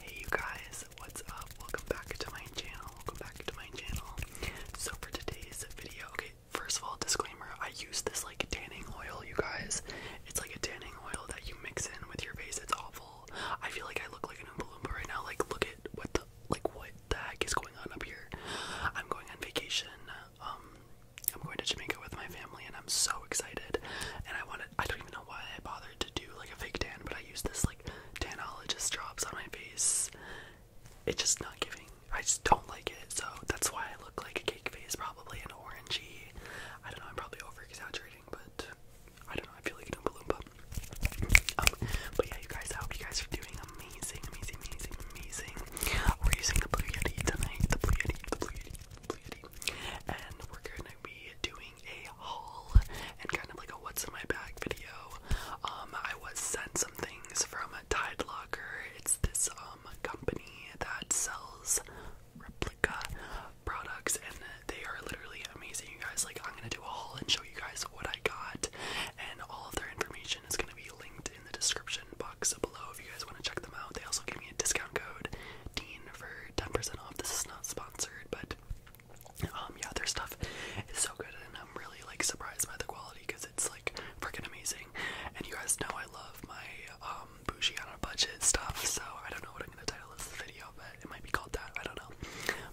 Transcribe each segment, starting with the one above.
Hey you guys, what's up? Welcome back to my channel. Welcome back to my channel. So for today's video, okay, first of all, disclaimer, I use this like tanning oil, you guys. It's like a tanning oil that you mix in with your face. It's awful. I feel like I look like an Oompa Loompa right now. Like look at what the like what the heck is going on up here. I'm going on vacation. Um I'm going to Jamaica with my family and I'm so excited and I wanted I don't even know why I bothered to do like a fake tan, but I use this like tanologist drops on my face. It's just not giving. I just don't like it, so that's why I look like a cake face, probably an orangey. I don't know. I'm probably over exaggerating, but I don't know. I feel like an Oompa Loompa. Um, but yeah, you guys. I hope you guys are doing amazing, amazing, amazing, amazing. We're using the Blue Yeti tonight. The Blue Yeti. The Blue Yeti. Blue Yeti. And we're gonna be doing a haul and kind of like a what's in my bag video. Um, I was sent some things from a Tide Locker. It's this um company that sells replica products and they are literally amazing you guys like I'm gonna do a haul and show you guys what I got and all of their information is gonna be linked in the description box below if you guys want to check them out they also gave me a discount code D for 10% off. This is not sponsored, but um, yeah, their stuff is so good, and I'm really like surprised by the quality because it's like freaking amazing. And you guys know I love my um, bougie on a budget stuff, so I don't know what I'm gonna title this video, but it might be called that. I don't know,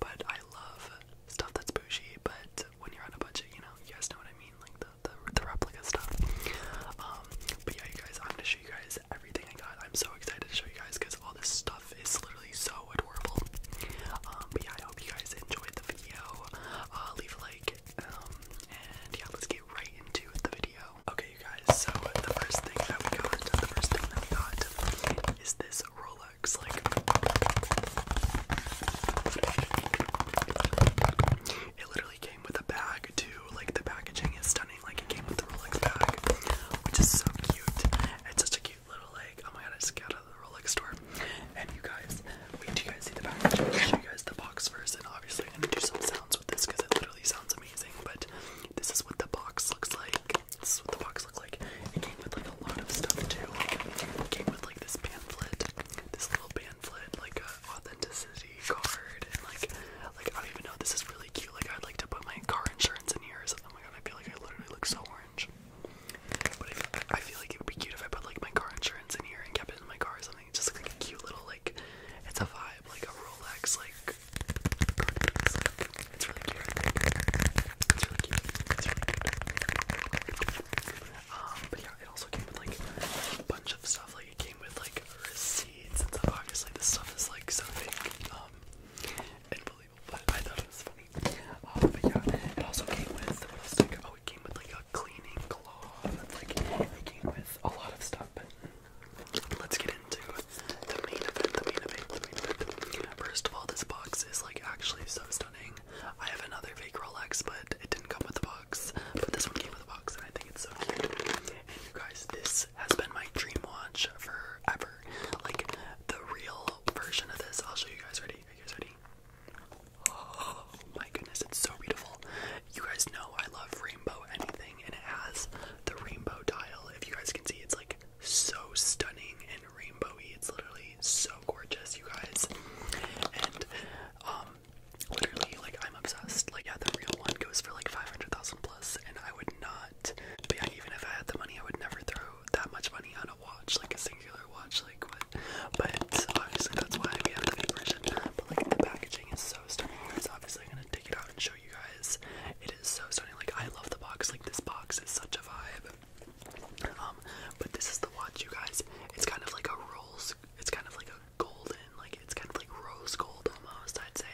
but I love stuff that's bougie, but when you're on a budget, you know, you guys know what I mean, like the the, replica stuff. Um, but yeah, you guys, I'm just. to you guys everything I got. I'm so excited to show you guys because all this stuff is literally so adorable. Um, yeah, I hope you guys enjoyed the video. Uh, leave a like, um, yeah, let's get right into the video. Okay, you guys, so the first thing that we got, the first thing that we got is this Rolex. Like, it literally came with a bag, too, like the packaging is stunning. Like it came with the Rolex bag, which is so cute. It's such a cute little like. Oh my god! I just got out of the Rolex store. And you guys, wait! Do you guys see the packaging? show you guys the box first, and obviously I'm gonna do some sounds with this because it literally sounds amazing. But this is what the box looks like. This is what the box looks like. It came with like a lot of stuff too. It came with like this pamphlet, this little pamphlet, like a authenticity card, and like like I don't even know. This is really cute. Like I'd like to put my car insurance in here or Oh my god, I feel like I literally look so orange. But I, feel like it would be cute if I put like my car insurance in here and kept it in my car or something. It just like a cute little like. It's a vibe, like a Rolex, like. It's, like, it's really cute. It's really cute. It's really cute. Um, but yeah, it also came with like a bunch of stuff. Like it came with like receipts and stuff. Obviously, this stuff is like so fake um, and but I thought it was funny. Um, but yeah, it also came with oh, it came with like a cleaning cloth. Like, it came with a lot of stuff. let's get into the main event. The main event. The main event. First of all, this box is like actually so stunning. I have another fake Rolex, but it didn't come with the box. But this one came with a box, and I think it's so cute. And you guys, this has been my dream watch forever. Like the real version of this. I'll show you guys. Ready? Are you guys ready? Oh my goodness, it's so beautiful. You guys know I love rainbow anything, and it has the rainbow dial. If you guys can see, it's like so stunning and rainbowy. It's literally so gorgeous, you guys. And um, Literally, like I'm obsessed. Like yeah, the real one goes for like 500,000 plus, and I would not. But yeah, even if I had the money, I would never throw that much money on a watch, like a singular watch, like what. But obviously that's why we have the new version. But like the packaging is so stunning. It's obviously I'm gonna take it out and show you guys. It is so stunning. Like I love the box. Like this box is such a vibe. Um, but this is the watch, you guys. It's kind of like a Rolls. It's kind of like a golden, like it's kind of like rose gold almost, I'd say.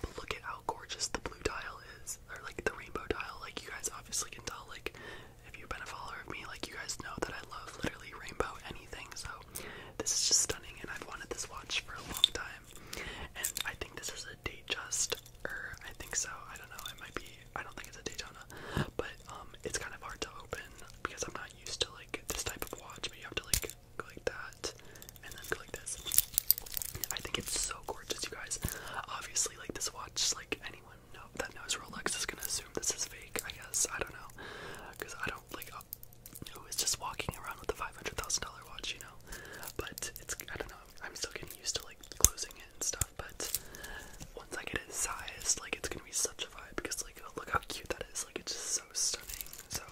But look at how gorgeous the blue tile is, or like the rainbow tile. Like you guys obviously can tell, like if you've been a follower of me, like you guys know that I love literally rainbow anything. So this is just stunning, and I've wanted this watch for a long time. And I think this is a Datejust, or I think so. I don't know. It might be. I don't think it's a Daytona, but um, it's kind of hard to open because I'm not used to like this type of watch. But you have to like click, click that, and then click this. I think it's so gorgeous, you guys. Obviously, like this watch, like anyone that knows Rolex is gonna assume this is fake. I guess I don't know, cause I don't like uh, who is just walking around with a five hundred thousand dollar watch, you know. But it's I don't know. I'm still getting used to like closing it and stuff. But once I get it sized, like it's gonna be such a vibe because like look how cute that is. Like it's just so stunning. So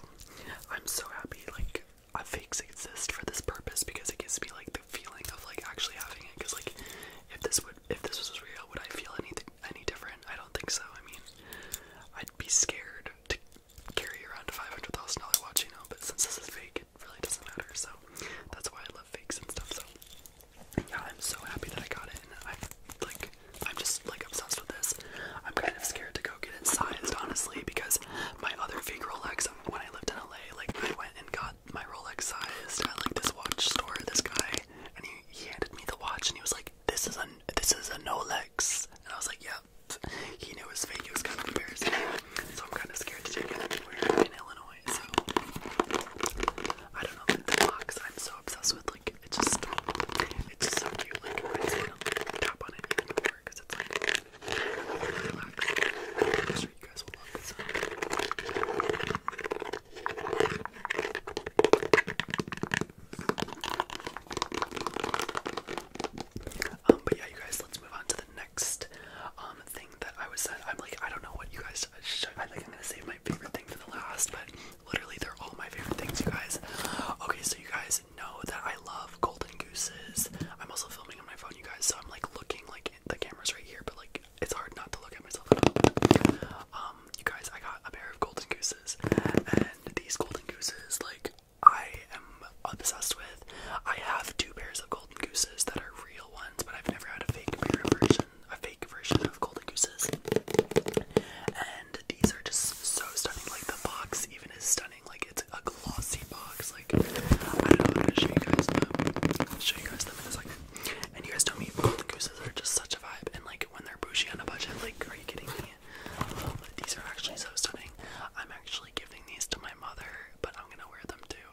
I'm so happy like fakes exist for this purpose because it gives me like the feeling of like actually having it. Because like if this would if this was real, would I feel anything any different? I don't think so. I mean, I'd be scared to carry around a five hundred thousand dollar watch, you know. But since this is fake, it really doesn't matter. So that's why I love fakes and stuff. So yeah, I'm so happy that I got it. And i like I'm just like obsessed with this. I'm kind of scared to go get it sized, honestly, because my other fake Rolex, um, when I lived in LA, like I went and got my Rolex sized at like this watch store. This guy, and he, he handed me the watch, and he was like, "This is a this is a Nolex," and I was like, "Yep." He knew his fake. It was kind of embarrassing, so I'm kind of scared to take it anywhere in Illinois. So I don't know. the box, I'm so obsessed with like it's just it's so cute. Like reminds me to tap on it because it's like i Um, but yeah, you guys, let's move on to the next um thing that I was I'm like, I don't know what you guys. I think I'm gonna save my favorite thing for the last, but Literally, they're all my favorite things, you guys. Okay, so you guys know that I love golden gooses. I'm also filming on my phone, you guys, so I'm like looking like the camera's right here, but like it's hard not to look at myself at all. Um, you guys, I got a pair of golden gooses, and these golden gooses, like, I am obsessed with. I have two pairs of golden gooses that are real ones, but I've never had a fake pair of version a fake version of Golden Gooses. And these are just so stunning. Like the box even is stunning. Like it's a glossy box. Like I don't know. I'm gonna show you guys them. I'll show you guys them in a second. And you guys tell me Golden Gooses are just such a vibe. And like when they're bougie on a budget, like are you kidding me? Um, these are actually so stunning. I'm actually giving these to my mother, but I'm gonna wear them too.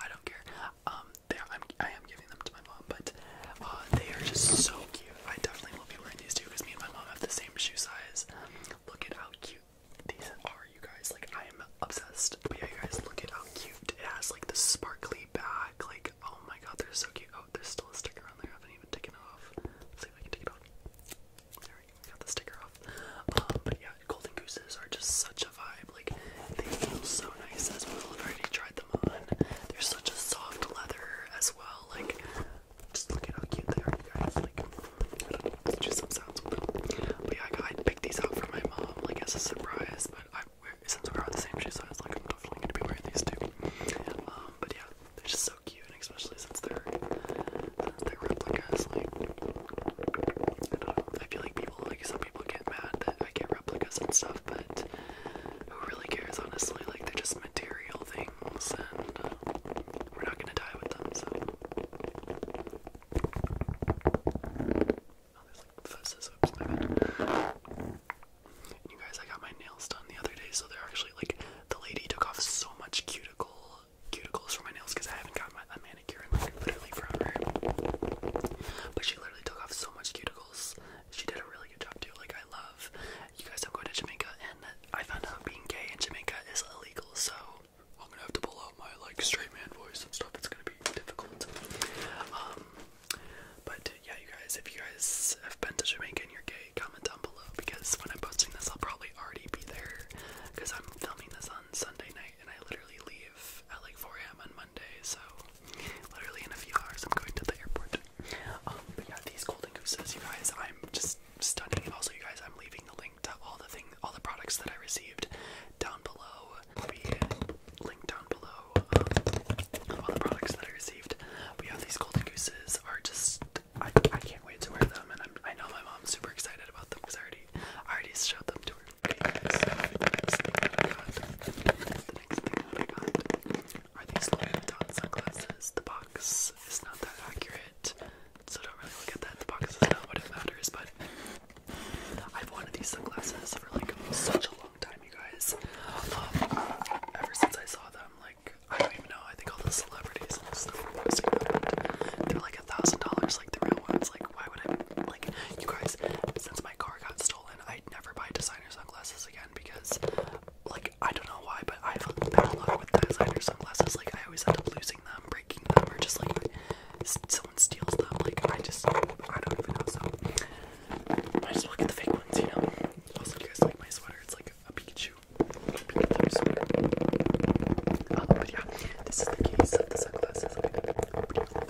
I don't care. Um, they I'm, I am giving them to my mom, but uh, they are just so cute. I definitely will be wearing these two because me and my mom have the same shoe size. Look at how cute these are, you guys. Like, I am obsessed. But yeah, you guys, look at how cute it has. Like, the sparkly back. Like, oh my god, they're so cute. Oh, there's still a sticker on there. I haven't even taken it off. see if I can take it off. There we go. Got the sticker off. Um, but yeah, golden gooses are just such a vibe. Like, they feel so nice as well. already tried tried them on. They're such a soft leather as well. Like, just look at how cute they are, you guys. Like, I don't know, let's do some sounds with them. But yeah, I, I picked these out for my mom, like, as a surprise. But I, since we're on the same shoe size, like, I'm definitely gonna be wearing these too. Um, but yeah, they're just so cute, and especially since they're, since they're replicas. Like, I don't know, I feel like people, like, some people get mad that I get replicas and stuff but who really cares, honestly? Like, they're just material things, and uh, we're not gonna die with them, so. Oh, you guys, I got my nails done the other day, so they're actually like the lady took off so much cuticle cuticles from my nails because I haven't gotten my, a manicure in like literally forever. But she literally took off so much cuticles she did a really good job too. Like I love you guys don't go to Jamaica and I found out being gay in Jamaica is illegal, so I'm gonna have to pull out my like straight man voice and stuff. It's gonna be difficult. Um but yeah you guys if you guys have been to Jamaica and you're gay, comment down below because when I'm posting this I'll probably already be there because I'm filming this on Sunday night and I literally leave at like 4 a.m. on Monday, so literally in a few hours I'm going to the airport. Um, but yeah, these golden gooses, you guys, I'm just stunning. also, you guys, I'm leaving the link to all the thing, all the products that I received down below. It'll down below. Um, all the products that I received. But yeah, these golden gooses are just. I, I can't wait to wear them, and I'm, I know my mom's super excited about them because I already, I already showed them to her. Okay, so, next thing I got are these Louis sunglasses. The box is not that accurate, so don't really look at that. The box is not what it matters, but I've wanted these sunglasses for like such a long time, you guys. Um, ever since I saw them, like I don't even know. I think all the celebrities and stuff were posting them. they're like a thousand dollars, like the real ones. Like why would I? Like you guys, since my car got stolen, I i never buy designer sunglasses again because, like, I don't know why, but I've bad luck with designer sunglasses. Like, I always end up losing them, breaking them, or just like someone steals them. Like, I just, I don't even know. So, I just look at the fake ones, you know. Also, you guys like my sweater? It's like a Pikachu, um, but yeah, this is the case of the sunglasses.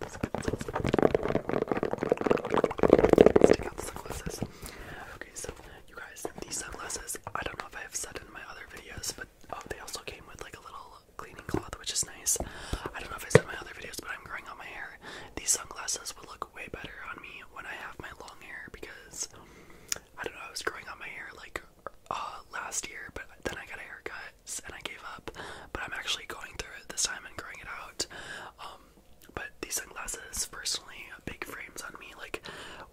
let sunglasses. you guys, these sunglasses, I don't know if I have said in my other videos, but oh, they also came with like a little cleaning cloth, which is nice. I don't know if I said in my other videos, but I'm growing out my hair. These sunglasses would look way better on me when I have my long hair because I don't know, I was growing out my hair like uh, last year, but then I got a haircut and I gave up. But I'm actually going through it this time and growing it out. Um, but these sunglasses, personally, big frames on me. Like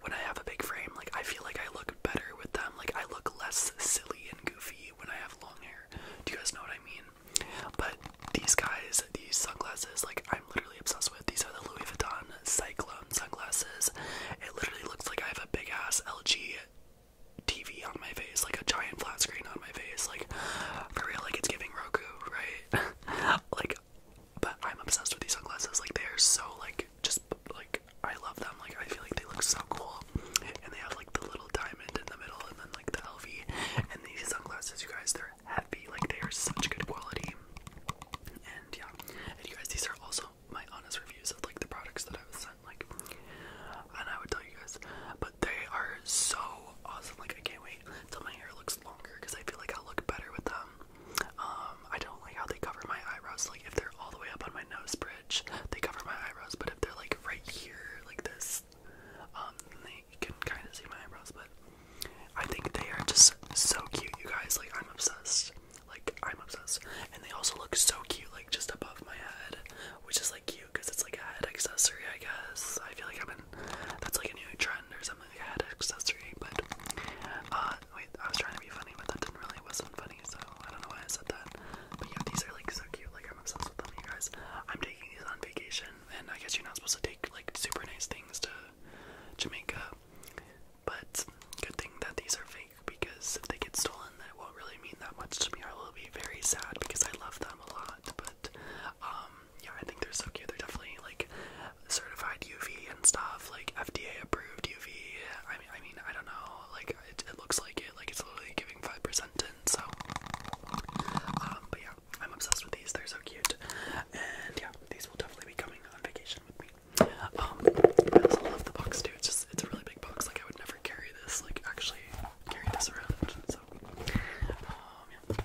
when I have a big frame, like I feel like I look better with them. Like I look less silly and goofy when I have long hair. Do you guys know what I mean? But these guys, these sunglasses, like I'm literally obsessed with. These are the Louis Vuitton Cyclone sunglasses. It literally looks like I have a big ass LG TV on my face, like a giant flat screen on my face, like for real, like it's giving Roku, right? like, but I'm obsessed with these sunglasses. Like they are so like just like I love them. Like I feel like they look so cool, and they have like the little diamond in the middle, and then like the LV, and these sunglasses, you guys, they're heavy. Like they are such good quality, and yeah, and you guys, these are also my honest reviews of like the products that I was sent, like, and I would tell you guys, but they are so awesome. Like, I can't wait till my hair looks longer because I feel like I'll look better with them. Um, I don't like how they cover my eyebrows. Like, if they're all the way up on my nose bridge, they cover my eyebrows. But if they're like right here, like this, um, they can kind of see my eyebrows. But I think they are just so cute, you guys. Like, I'm obsessed. Like I'm obsessed. And they also look so cute, like just above my head, which is like cute because it's like a head accessory, I guess. I feel like I'm in. That's like a new trend or something, head accessory. But uh, wait, I was trying to be funny, but that didn't really wasn't funny. So I don't know why I said that. But yeah, these are like so cute. Like I'm obsessed with them, you guys. I'm taking these on vacation, and I guess you're not supposed to take like super nice things to Jamaica. But good thing that these are fake because if they get stolen that won't really mean that much to me. I will be very sad because I love them a lot. But um yeah, I think they're so cute. They're definitely like certified UV and stuff, like FDA approved UV. I mean, I mean, I don't know. Like it, looks like it. Like it's literally giving five percent in. So, um, but yeah, I'm obsessed with these. They're so cute, and yeah, these will definitely be coming on vacation with me. Um, I also love the box too. It's just it's a really big box. Like I would never carry this. Like actually carrying this around. So um,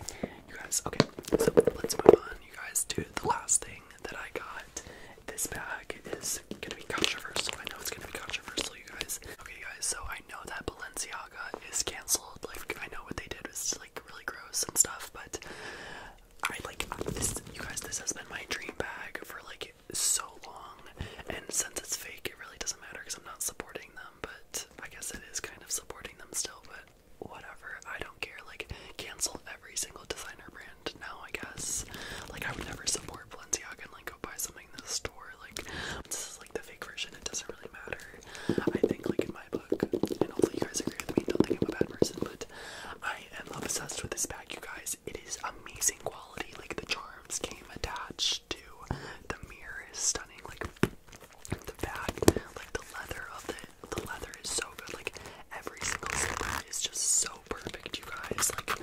you guys. Okay, so let's move on. You guys to the last thing that I got. This bag is gonna be controversial. So I know it's gonna be controversial, you guys. Okay, guys. So I know that Balenciaga is canceled. Like I know what they did was like really gross and stuff, but. I like this. You guys, this has been my dream bag for like so long, and since it's fake, it really doesn't matter because I'm not supporting them. But I guess it is kind of supporting them still, but whatever. I don't care. Like, cancel every single designer brand now, I guess. Like, I would never support Balenciaga and like go buy something in the store. Like, this is like the fake version. It doesn't really matter. I think, like in my book, and hopefully you guys agree with me. Don't think I'm a bad person, but I I am obsessed with this bag, you guys. It is amazing quality. Like the charms came attached to the mirror is stunning. Like the bag, like the leather of the the leather is so good. Like every single slipper is just so perfect, you guys. Like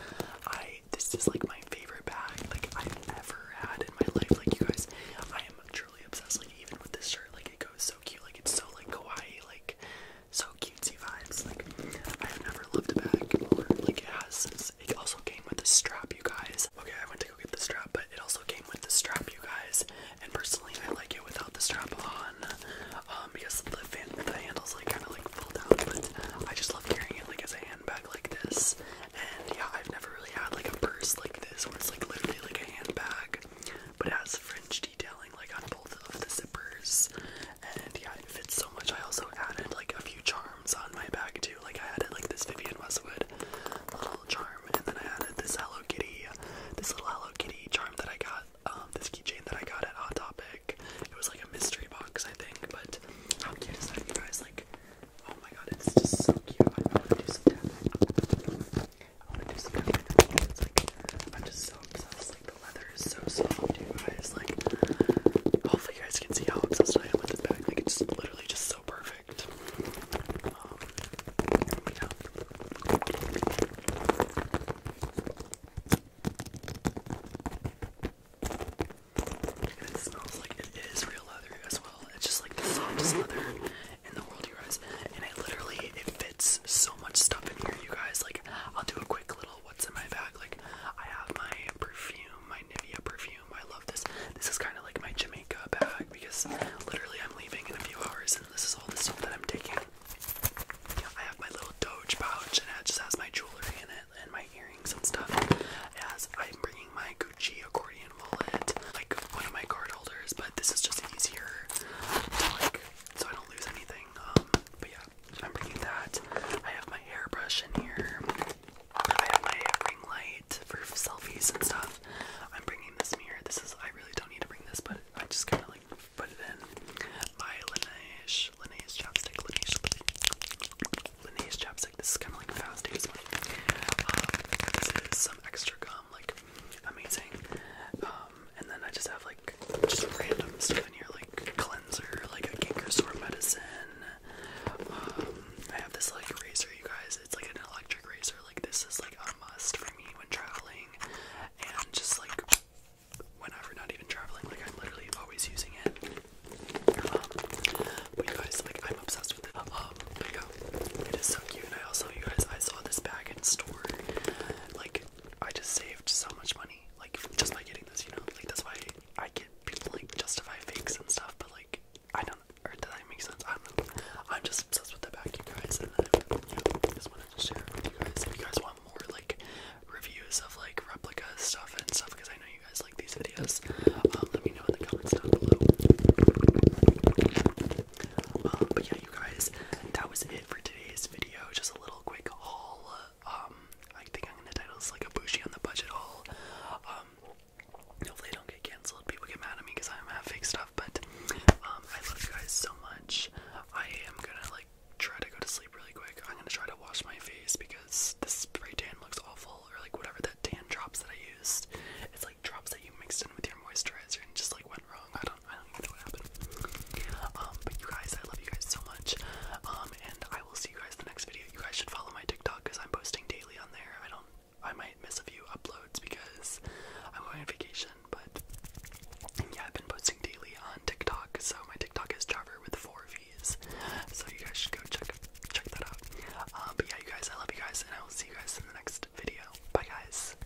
I this is like my favorite bag like I've ever had in my life. Like you guys, I am truly obsessed. Like even with this shirt, like it goes so cute. Like it's so like kawaii. Like so cutesy vibes. Like I have never loved a bag Like it has. It also came with a strap, you guys. Okay, I went to go get the strap, but it also came with the strap, you guys. And personally, I like it without the strap on, um, because the fan, the handles like kind of like fall down. But I just love carrying it like as a handbag like this. And yeah, I've never really had like a purse like this where it's like literally like a handbag, but it has fringe detailing like on both of the zippers. And yeah, it fits so much. I also added like a few charms on my bag too. Like I added like this Vivian Westwood little charm, and then I added this Hello Kitty, this little Hello Kitty charm that I got, um, this keychain that I got at Hot Topic. It was like a mystery box, I think. But how cute is that, you guys? Like, oh my god, it's just so cute. I want to do some tapping. I want to do some tapping. I'm just so obsessed leather is so soft, you guys. Like, hopefully, you guys can see how obsessed I am with this bag. Like, it's literally just so perfect. Um, and it smells like it is real leather as well. It's just like the softest leather in the world, you guys. And it literally it fits so much stuff in here, you guys. Like I'll do a quick little Oh, what's in my bag. Like I have my perfume, my Nivea perfume. I love this. This is kind of like my Jamaica bag because literally I'm leaving in a few hours, and this is all the stuff that I'm taking. I have my little Doge pouch, and it just has my jewelry in it and my earrings and stuff. As I'm bringing my Gucci accordion wallet, like one of my card holders, but this is just easier to like so I don't lose anything. Um, but yeah, I'm bringing that. I have my hairbrush in here. I have my ring light for selfies and stuff. I'm bringing this mirror. This is, I really don't need to bring this, but I just kind of like put it in. My Laneige, Laneige chapstick, Laneige, Laneige chapstick. This is kind of like fast ASMR. Um, this is some extra gum, like amazing. Um, um, and then I just have like just random stuff in here, like cleanser, like a canker sore medicine. Um, I have this like razor, you guys. It's like an electric razor. Like this is like a must for me when traveling, and just like whenever, not even traveling. Like I'm literally always using it. Um, but you guys, like I'm obsessed with it. Um, like, oh, it is so cute. And I also, you guys, I saw this bag in store. Like I just saved so much money, like just by getting this, you know. Like that's why I get people like justify fakes and stuff, but like I don't. Or does that make sense? I do I'm just obsessed with the back, you guys, and I you just wanted to share with you guys. If you guys want more like reviews of like replica stuff and stuff, because I know you guys like these videos, um, let me know in the comments down below. Um, but yeah, you guys, that was it for today's video. Just a little quick haul. Um, I think I'm gonna title this like a bushy on the budget haul. Um, hopefully I don't get cancelled. People get mad at me because I have fake stuff. But um, I love you guys so much. I am gonna like try to go to sleep really quick. I'm gonna try to wash my face because this spray tan looks awful, or like whatever that tan drops that I used. It's like drops that you mixed in with your moisturizer and just like went wrong. I don't I don't even know what happened. Um, but you guys, I love you guys so much. Um, and I will see you guys in the next video. You guys should follow my TikTok because I'm posting daily on there. I don't, I might miss a few uploads because I'm going on vacation. But yeah, I've been posting daily on TikTok. So my TikTok is Trevor with four V's. So you guys should go check check that out. Um, but yeah, you guys, I love you guys, and I will see you guys in the next video. Bye, guys.